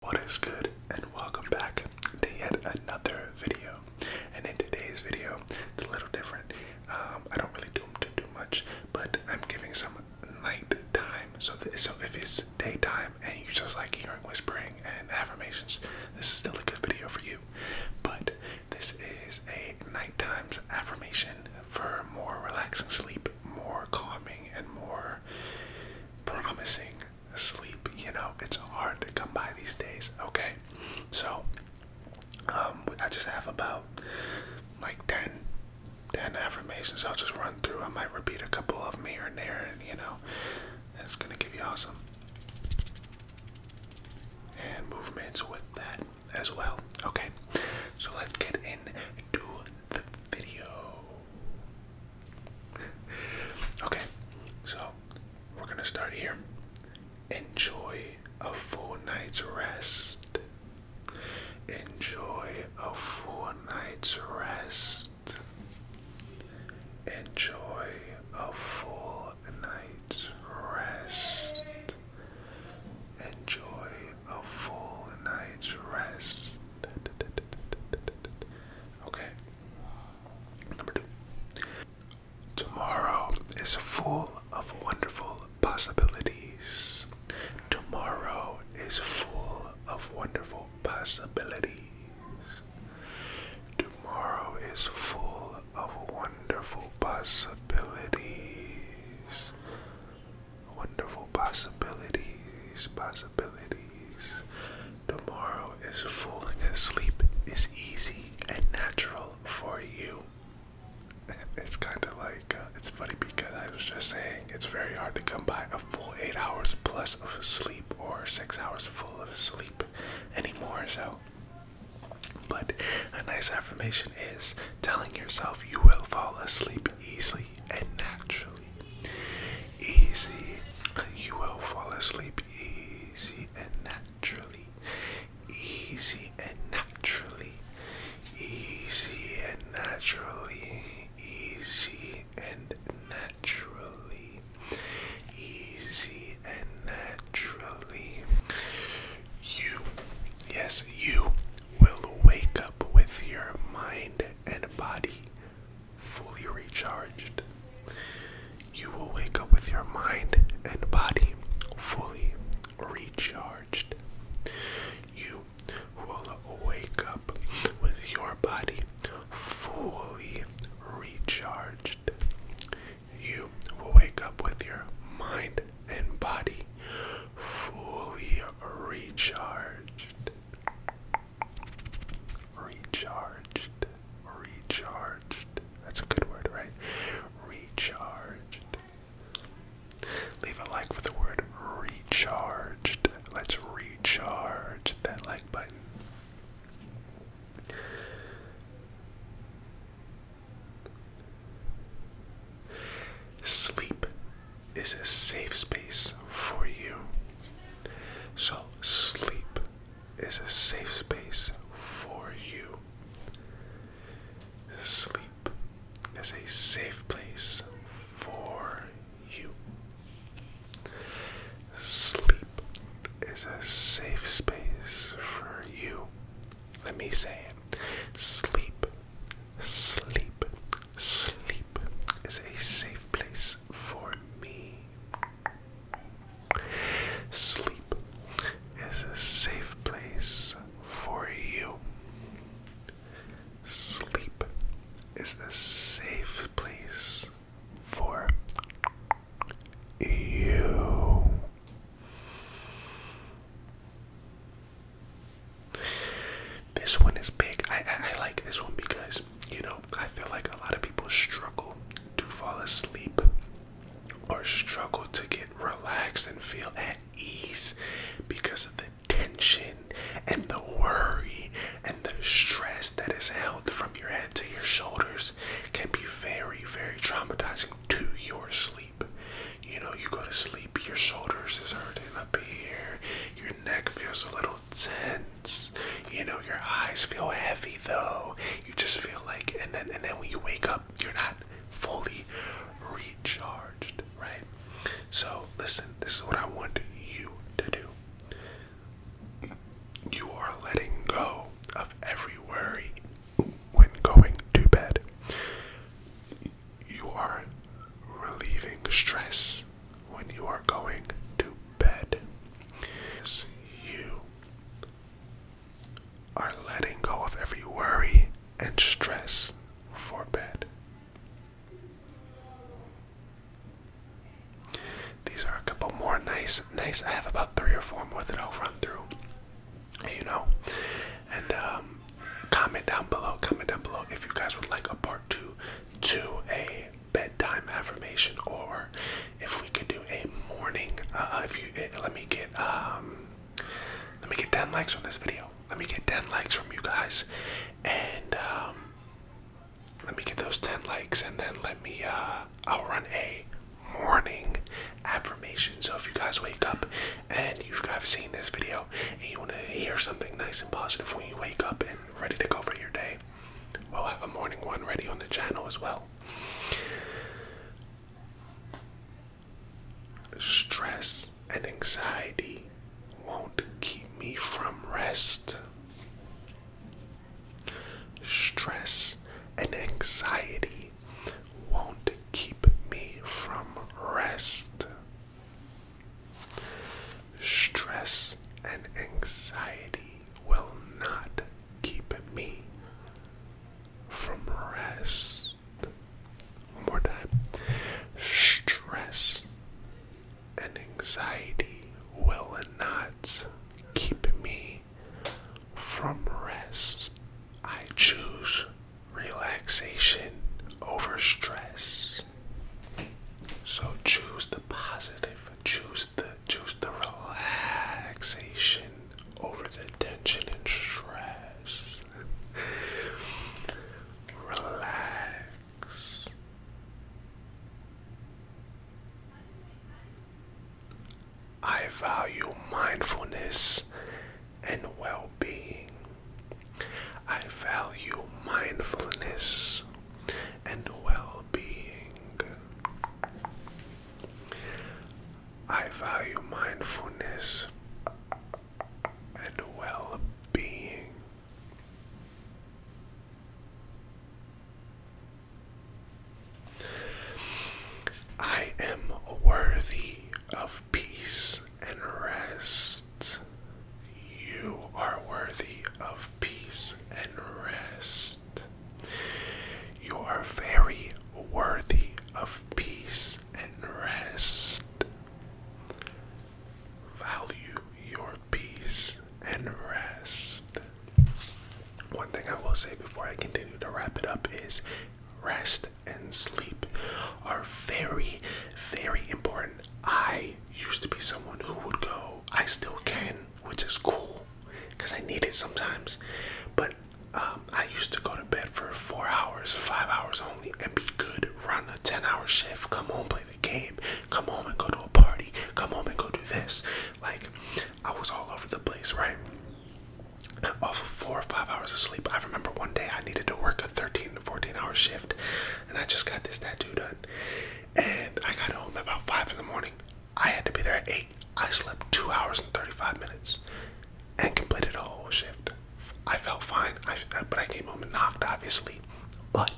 What is good and welcome back to yet another video. And in today's video, it's a little different. Um, I don't really do them much, but I'm giving some night time. So, th so if it's daytime and you just like hearing whispering and affirmations, this is still a good video for you. But this is a nighttime's affirmation for more relaxing sleep, more calming, and more promising sleep. You know, it's hard to come by these days, okay? So, um, I just have about like 10, affirmations. I'll just run through. I might repeat a couple of them here and there, and you know, it's gonna give you awesome. And movements with that as well. Okay, so let's get into the video okay, so we're gonna start here. Enjoy a full night's rest. Enjoy a full night's rest. Enjoy a full night's rest. Enjoy a full night's rest. Okay. Number two. Tomorrow is full of wonderful possibilities. Tomorrow is full of wonderful possibilities. Tomorrow is full of wonderful possibilities wonderful possibilities, possibilities. Tomorrow is falling asleep is easy and natural for you. It's kind of like, uh, it's funny because I was just saying it's very hard to come by a full eight hours plus of sleep or six hours full of sleep anymore, so. But a nice affirmation is telling yourself you will fall asleep easily and naturally. Easy. You will fall asleep easy and naturally. Easy and naturally. Easy and naturally. Easy and naturally. Easy and naturally. You, yes, you will wake up with your mind and body fully recharged. You will wake up with your mind and body fully recharged. You will wake up with your body fully recharged. You will wake up with your mind and body fully recharged recharged, recharged. That's a good word, right? Recharged. Leave a like for the word recharged. Let's recharge that like button. Sleep is a safe space for you. So, sleep is a safe space for you. Sleep is a safe place for you. Sleep is a safe space for you. Let me say it. Sleep, sleep, Sleep is a safe place for me. Sleep is a safe place for you. Sleep is a safe place for you. This one is big. I, I, like this one because, you know, I feel like a lot of people struggle to fall asleep or struggle to get relaxed and feel at ease because of the tension and the worry and the stress that is held from your head to your shoulders can be very, very traumatizing to your sleep. You know, you go to sleep, your shoulders is hurting up here, your neck feels a little tense. You know, your eyes feel heavy though. You just feel like, and then and then when you wake up, you're not fully recharged, right? So listen, this is what I want you to do. You are letting go of every worry when going to bed you are relieving stress when you are going to bed is you are letting go of every worry and stress for bed. These are a couple more nice, nice. I have about three or four more that I'll run through. You know, and um, comment down below. Comment down below if you guys would like a part two to a bedtime affirmation, or if we could do a morning. Uh, if you eh, let me get um, let me get 10 likes on this video. Let me get 10 likes from you guys, and um, let me get those 10 likes, and then let me. Uh, I'll run a morning affirmation. So if you guys wake up and you have seen this video and you want to hear something nice and positive when you wake up and ready to go for your day, we'll have a morning one ready on the channel as well. Stress and anxiety won't keep me from rest. Stress and anxiety won't keep me from rest. Stress and anxiety will not keep me from rest. One more time. Stress and anxiety will not keep me from rest. I choose relaxation over stress. So choose the positive, choose the choose the relaxation over the tension and stress. Relax. I value mindfulness and well being. I value mindfulness and well being. I value mindfulness and well being. I am worthy of peace and rest. You are worthy of peace and rest. You are very worthy of peace and rest. Value your peace and rest. One thing I will say before I continue to wrap it up is rest and sleep are very, very important. I used to be someone who would go, I still can, which is cool because I need it sometimes. But um, I used to go to bed for four hours, five hours only, and be good. Run a 10 hour shift, come home, play the game, come home and go to a party, come home and go do this. Like, I was all over the place, right? off of four or five hours of sleep. I remember one day I needed to work a 13 to 14 hour shift and I just got this tattoo done. And I got home about five in the morning. I had to be there at eight. I slept two hours and 35 minutes and completed a whole shift. I felt fine, I, uh, but I came home and knocked, obviously. But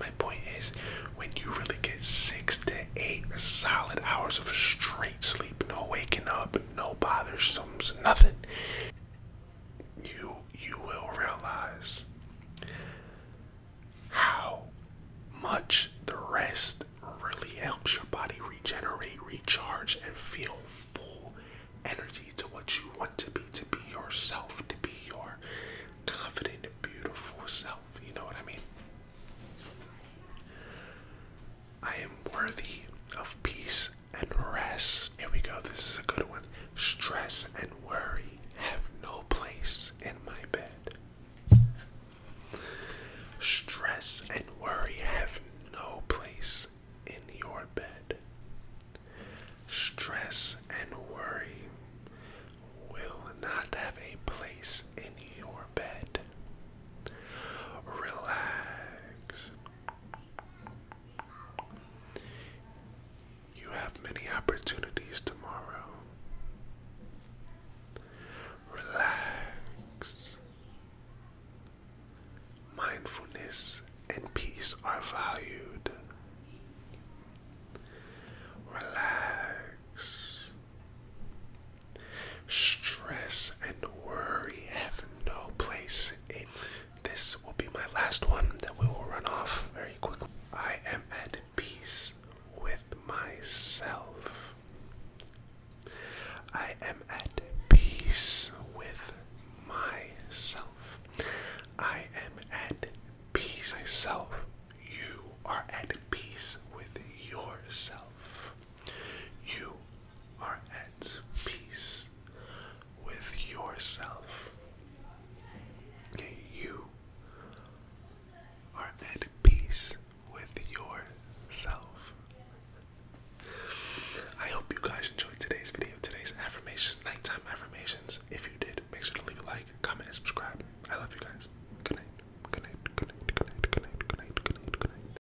my point is, when you really get six to eight solid hours of straight sleep, no waking up, no bothersomes, nothing, you you will realize how much the rest really helps your body regenerate, recharge, and feel full energy to what you want to be, to be yourself, to be your confident, beautiful self. You know what I mean? I am worthy of peace and rest. Here we go. This is a good one. Stress and worry have no place in my bed. Stress and worry have no place in your bed. Stress and worry will not have a place in your bed. Relax, you have many opportunities tomorrow. Relax. Mindfulness and peace are valued. Relax. Stress and worry have no place in. This will be my last one that we will run off very quickly. I am at peace with myself. I am at peace with myself. I am at peace myself. You are at peace with yourself. You are at peace with yourself. you are at peace with yourself. I hope you guys enjoyed today's video, today's affirmations, nighttime affirmations. If you did, make sure to leave a like, comment, and subscribe. I love you guys. Good night. Good night. Good night. Good night. Good night. Good night. Good night.